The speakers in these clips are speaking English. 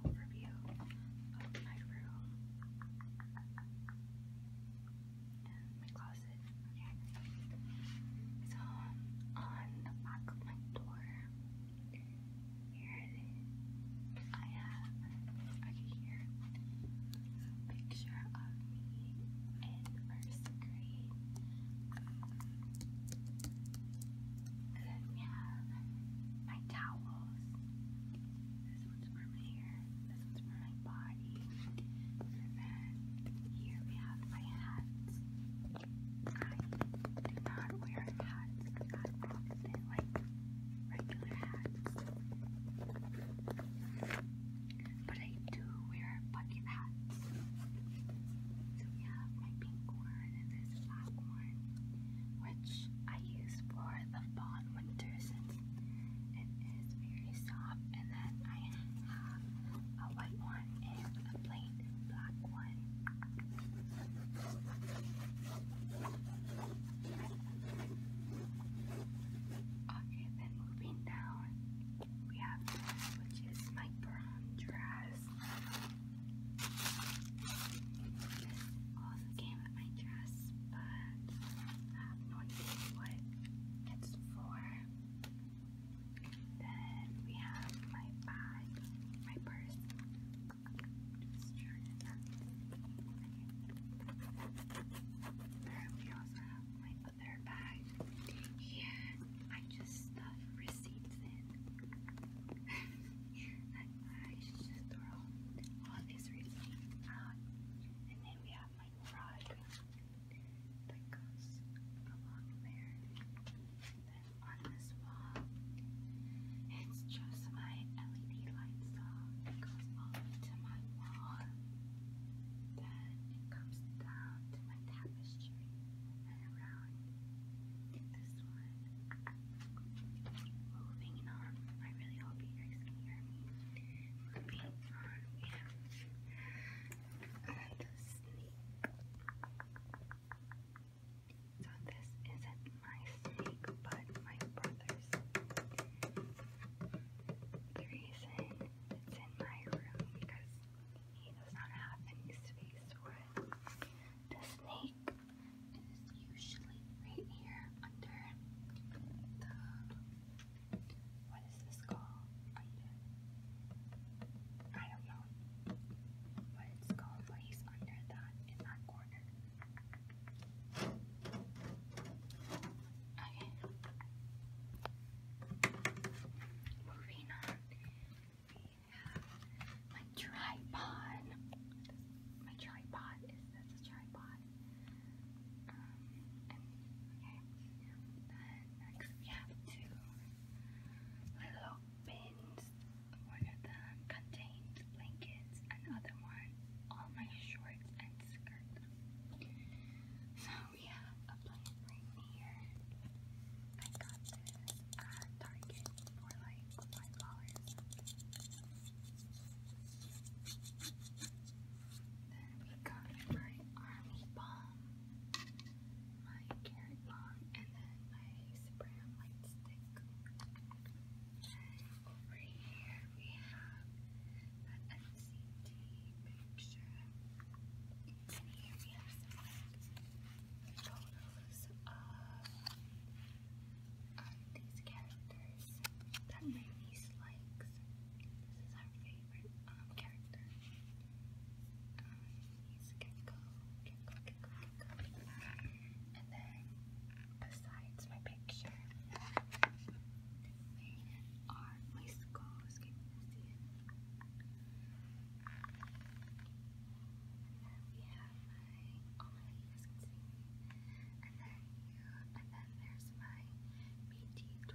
overview of my room and my closet. So on the back of my door, here I have okay here a picture of me in first grade. And then we have my towels. This one's for my hair, this one's for my body. And here we have my hats. I do not wear hats like regular hats. But I do wear bucket hats. So we have my pink one and this platform, which I use for the fall and winter since it is very soft. And then I have a white one and a plain black one. Okay, then moving down, we have which is my brown dress also came with my dress, but uh, I have no what it's for. Then we have my bag, my purse. We also have my other bag. Here, I just stuff receipts in. And then we have my rod that goes along there. then on this wall, it's just my LED lights that goes all the my wall. Then it comes down to my tapestry and around one, Moving on, I really hope you guys can hear me. Moving on, we have the snake. So this isn't my snake, but my brother's. The reason it's in my room because he does not have any space for it. The snake is usually right here under the what is this called? Under I don't know what it's called, but he's under that in that corner. Okay. Moving on, we my tripod. My tripod is that's a tripod. Um, and Then next we have two little bins. One of them contains blankets, another one all my shorts and skirt. So we have a button right here. I got this at Target for like five dollars. Then we got my army bomb, my carrot bomb, and then my spray light stick. And over here we have that MCT picture. And here we have some photos of um, these characters that my niece likes. This is our favorite character. And then besides my picture, are my then we have my, all and then you, and then there's my BT21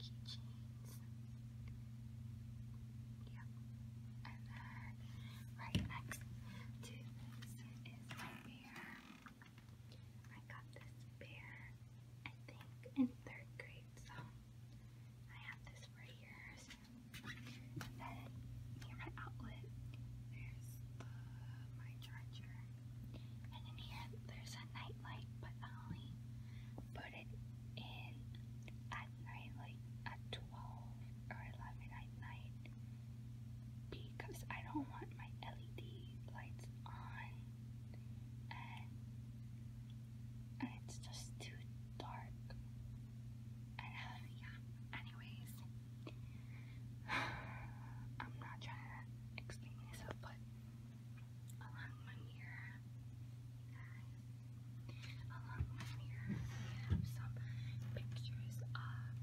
keychains. Yep. And then right next to this is my bear. I got this bear, I think, in third grade, so I have this for years. And then near my outlet, there's my charger. And in here, there's a nightlight, but I only put it in at night, like at 12 or 11 at night, because I don't want my LED lights on. And it's just too dark and uh, yeah anyways I'm not trying to explain myself but along my mirror along my mirror we have some pictures of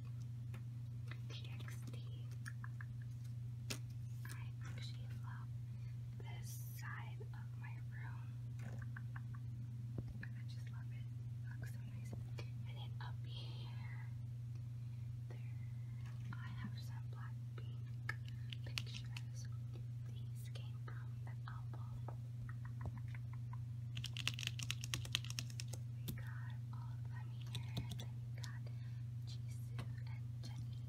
TXT I actually love this side of my room. I just love it. looks so nice. And then up here, I have some black pink pictures. These came from an album. We got all of them here. Then we got Jisoo and Jenny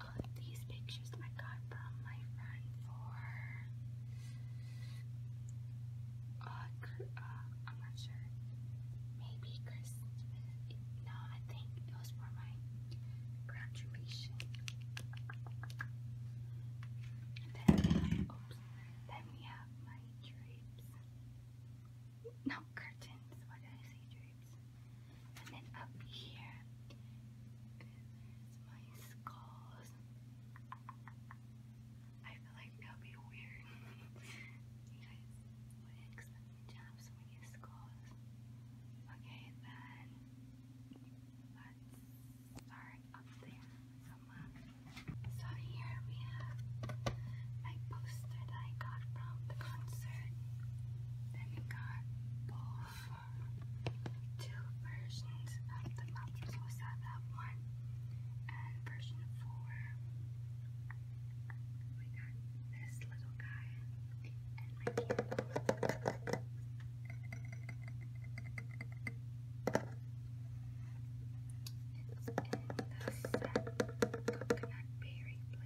uh, these pictures I got from my friend for uh, uh, I'm not sure. Maybe Christmas. No, I think it was my graduation. then oops, then we have my drapes. No, curtains. Why did I and then up here, my skulls. I feel like that would be weird. you guys wouldn't expect me to have so many skulls. Okay, then let's up there. So here we have my poster that I got from the concert. Then you got both two versions of the map. So it's that that one and version four. We got this little guy and my candle. It's coconut berry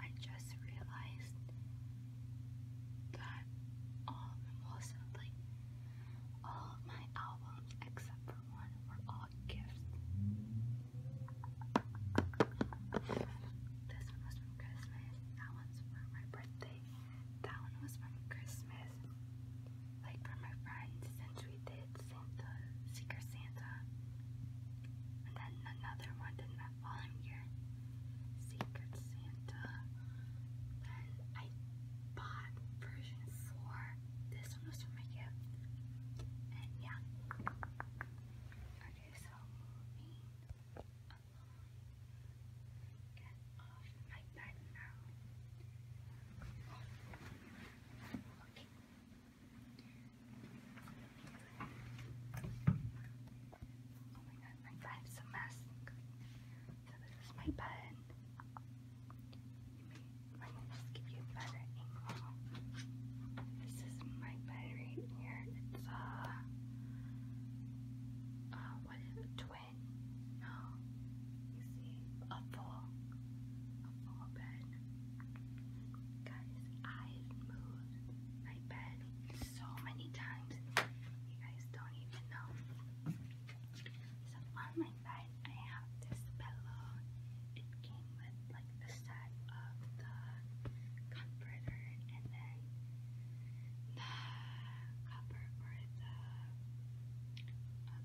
I just realized that all most of like all of my albums except for one were all gifts. This one was from Christmas, that one's for my birthday, that one was from Christmas, like for my friends since we did Santa, Secret Santa, and then another one in that following year, Secret Santa. Then I bought version four. This one was from my gift, and yeah. Okay, so moving along, get off my bed now. Okay. Oh my god, my bed is a mess. So this is my bed. I'm gonna just give you a better angle. This is my bed right here. It's a, twin? No, you see, a full, a full bed. Guys, I've my bed so many times. You guys don't even know. So on my bed, I have this pillow. It came with like the set of the comforter and then the cover or the uh,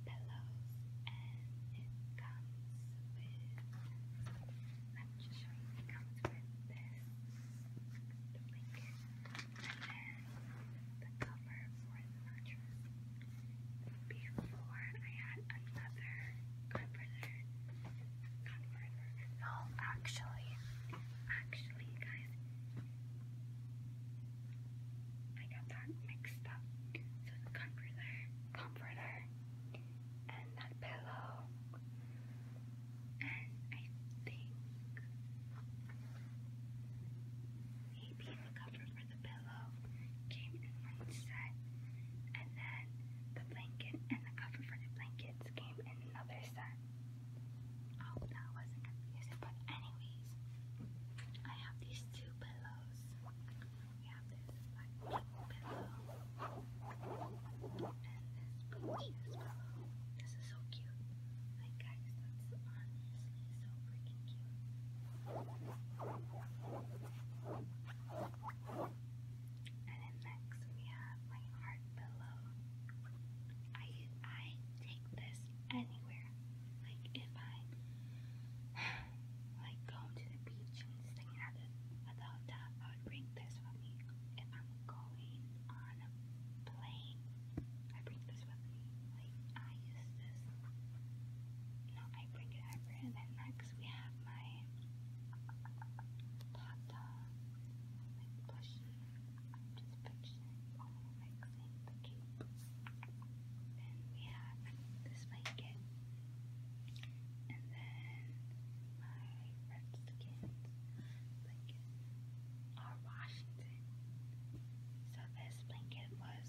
pillows, and it comes I'm just showing you it comes with the blanket and then the cover for the mattress. Before I had another comforter, comforter. No, actually, actually, guys, I got that mixed up. So the comforter, comforter and that pillow, and I think maybe the cover for the pillow came in one set, and then the blanket and the cover for the blankets came in another set. I oh, that wasn't confusing, but anyways, I have these two pillows we have this like pillow and this poochiest pillow. This is so cute. Like guys, that's honestly so freaking cute. And then next we have my heart pillow. I I take this anywhere. Like if I like going to the beach and staying at the, at the hotel, I would bring this with me. If I'm going on a plane, I bring this with me. Like, I use this. No, I bring it everywhere. And then next, we have my Tata, like, plushie. I'm just picturing all mixing the cape. Then we have this blanket. And then my Redskins blanket. Or Washington. So this blanket was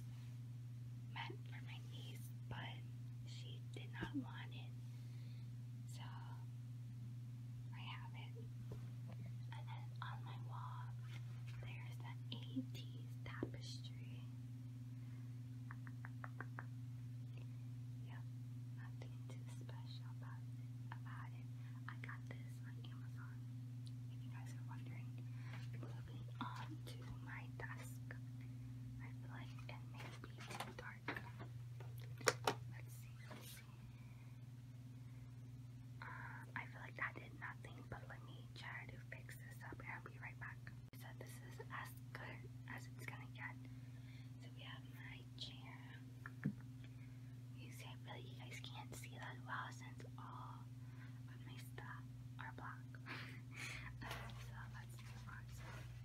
meant for my niece, but she did not want it. So I have it. And then on my wall, there's that 80s tapestry. Yep, nothing too special about it, I got this on Amazon. If you guys are wondering, moving on to my desk. I feel like it may be too dark. Let's see, let's see. Um, I feel like I did nothing, but let me try to fix this up and I'll be right back. So this is as good as it's gonna get. So we have my chair. You see, really you guys can't see that well since all of my stuff are black. Um, so let's move on.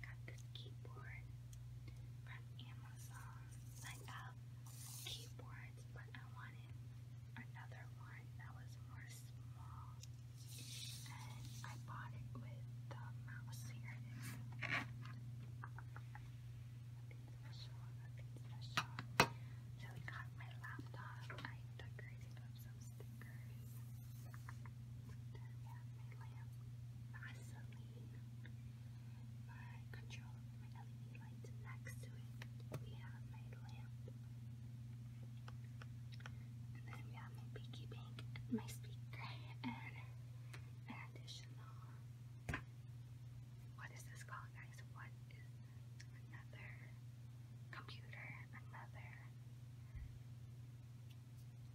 got this keyboard from Amazon. I love keyboards, but I wanted another one that was more small and I bought it with the mouse here. So I got my laptop. I decorated up some stickers. we have my lamp, Vaseline, my control, my LED lights next to it. We have my lamp, and then we have my Pinky Pink, my speaker, and an additional, what is this called guys? What is another computer, another,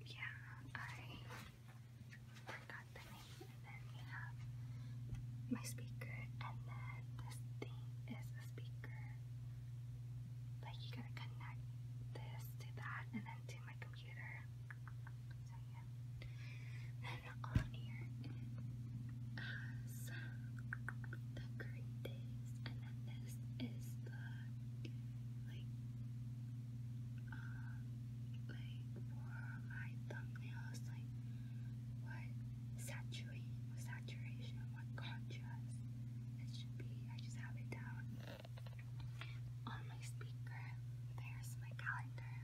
yeah, I forgot the name. And then we have my speaker, and then this thing is a speaker. Like you gotta connect this to that and then to my computer. So yeah. Then on here the current and then this is the like um like for my thumbnails like what saturating saturation, what contrast it should be. I just have it down on my speaker. There's my calendar.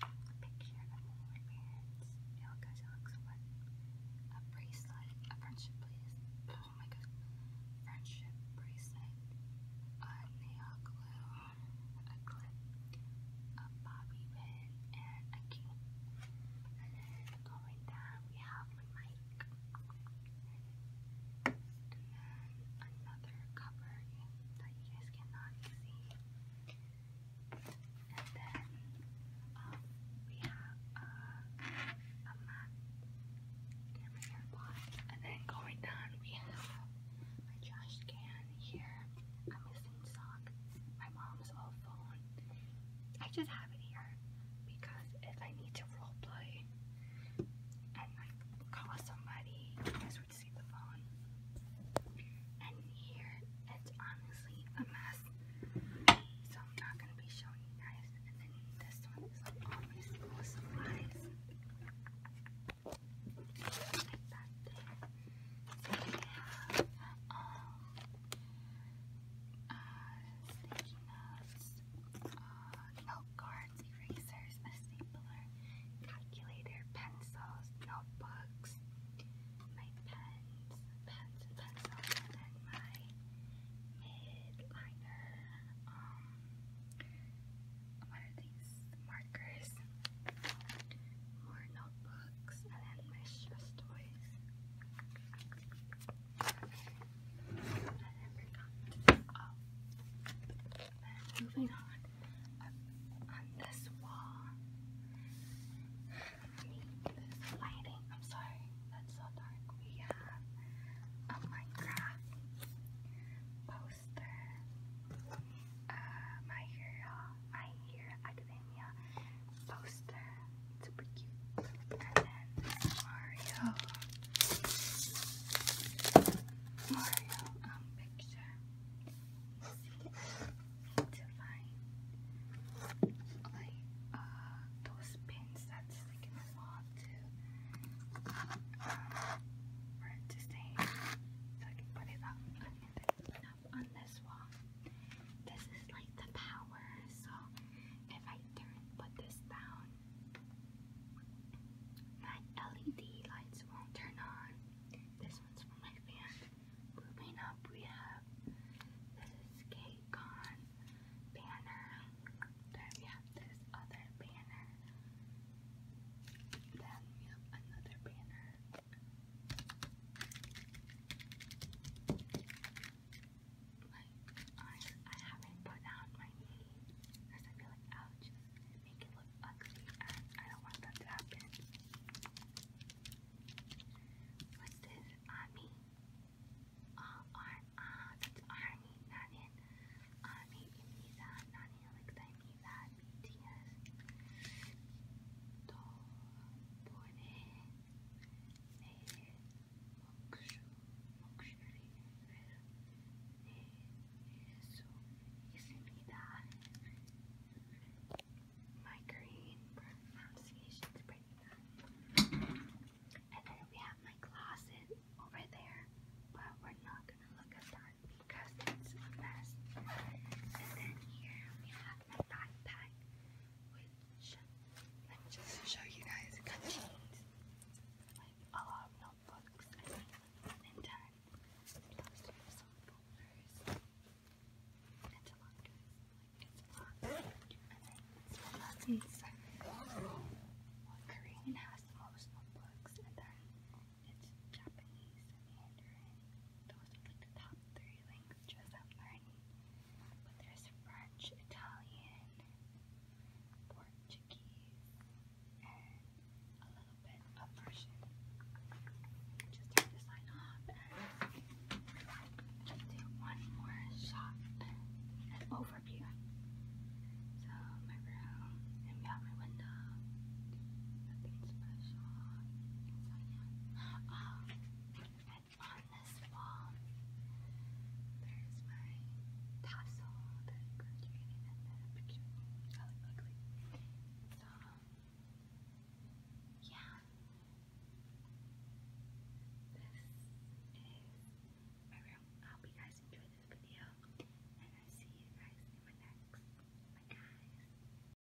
A picture of my parents. Ilka's looks fun. A bracelet. A friendship bracelet. Oh my god. Friendship bracelet. A nail glue. A clip. A bobby pin. And a key. going down we have my mic. And then another cover that you guys cannot see. And then um, we have uh, a mat for your pot. And then going down, we have my trash can here. I'm missing sock. My mom's old phone I just have it here because if I need to roleplay and like call somebody, I would see the phone. And here it's honestly a mess. So I'm not gonna be showing you guys. this one is like all my school supplies. Like that there uh, sticky notes, uh, note cards, erasers, a stapler, calculator, pencils, notebooks, my pens, pens and pencils, and then my midliner, um, what are these, markers, more notebooks, I moving on, on this wall, this lighting, I'm sorry, that's so dark. We have a Minecraft poster, uh, my hero, my hero, Academia poster. Super cute. And then Mario. Mario um, picture. See to find like those pins that's like in the wall to um for it to stay so I can put it up on this wall. This is like the power, so if I turn put this down, my LED lights won't turn on. This one's for my fan. Moving up, we have this K-Con banner. Then we have this other banner. Then we have another banner. Like, I, I haven't put down my knee because I feel like i make it look ugly I don't want that to happen. What's this? Army. Uh, ar uh, that's Army, not in. Army, Imiza, not in Alexa, Imiza, BTS. Doll. My green pronunciation's pretty And then we have my closet over there, but we're not gonna look at that because it's a mess. And then here we have have my backpack, let me just show you guys, contains like a lot of notebooks and time. Plus we have some folders and a lot and then it's all and then those are like the top three languages I'm learning, but there's French, Italian, Portuguese, and a little bit of Russian. Just have to sign off and do one more shot an overview. So my room and beyond my window. Nothing special. So and on this wall, there's my tassel that graduated in the picture. I look ugly. So, yeah. This is my room. I hope you guys enjoyed this video. And i see you guys in my next. Bye guys.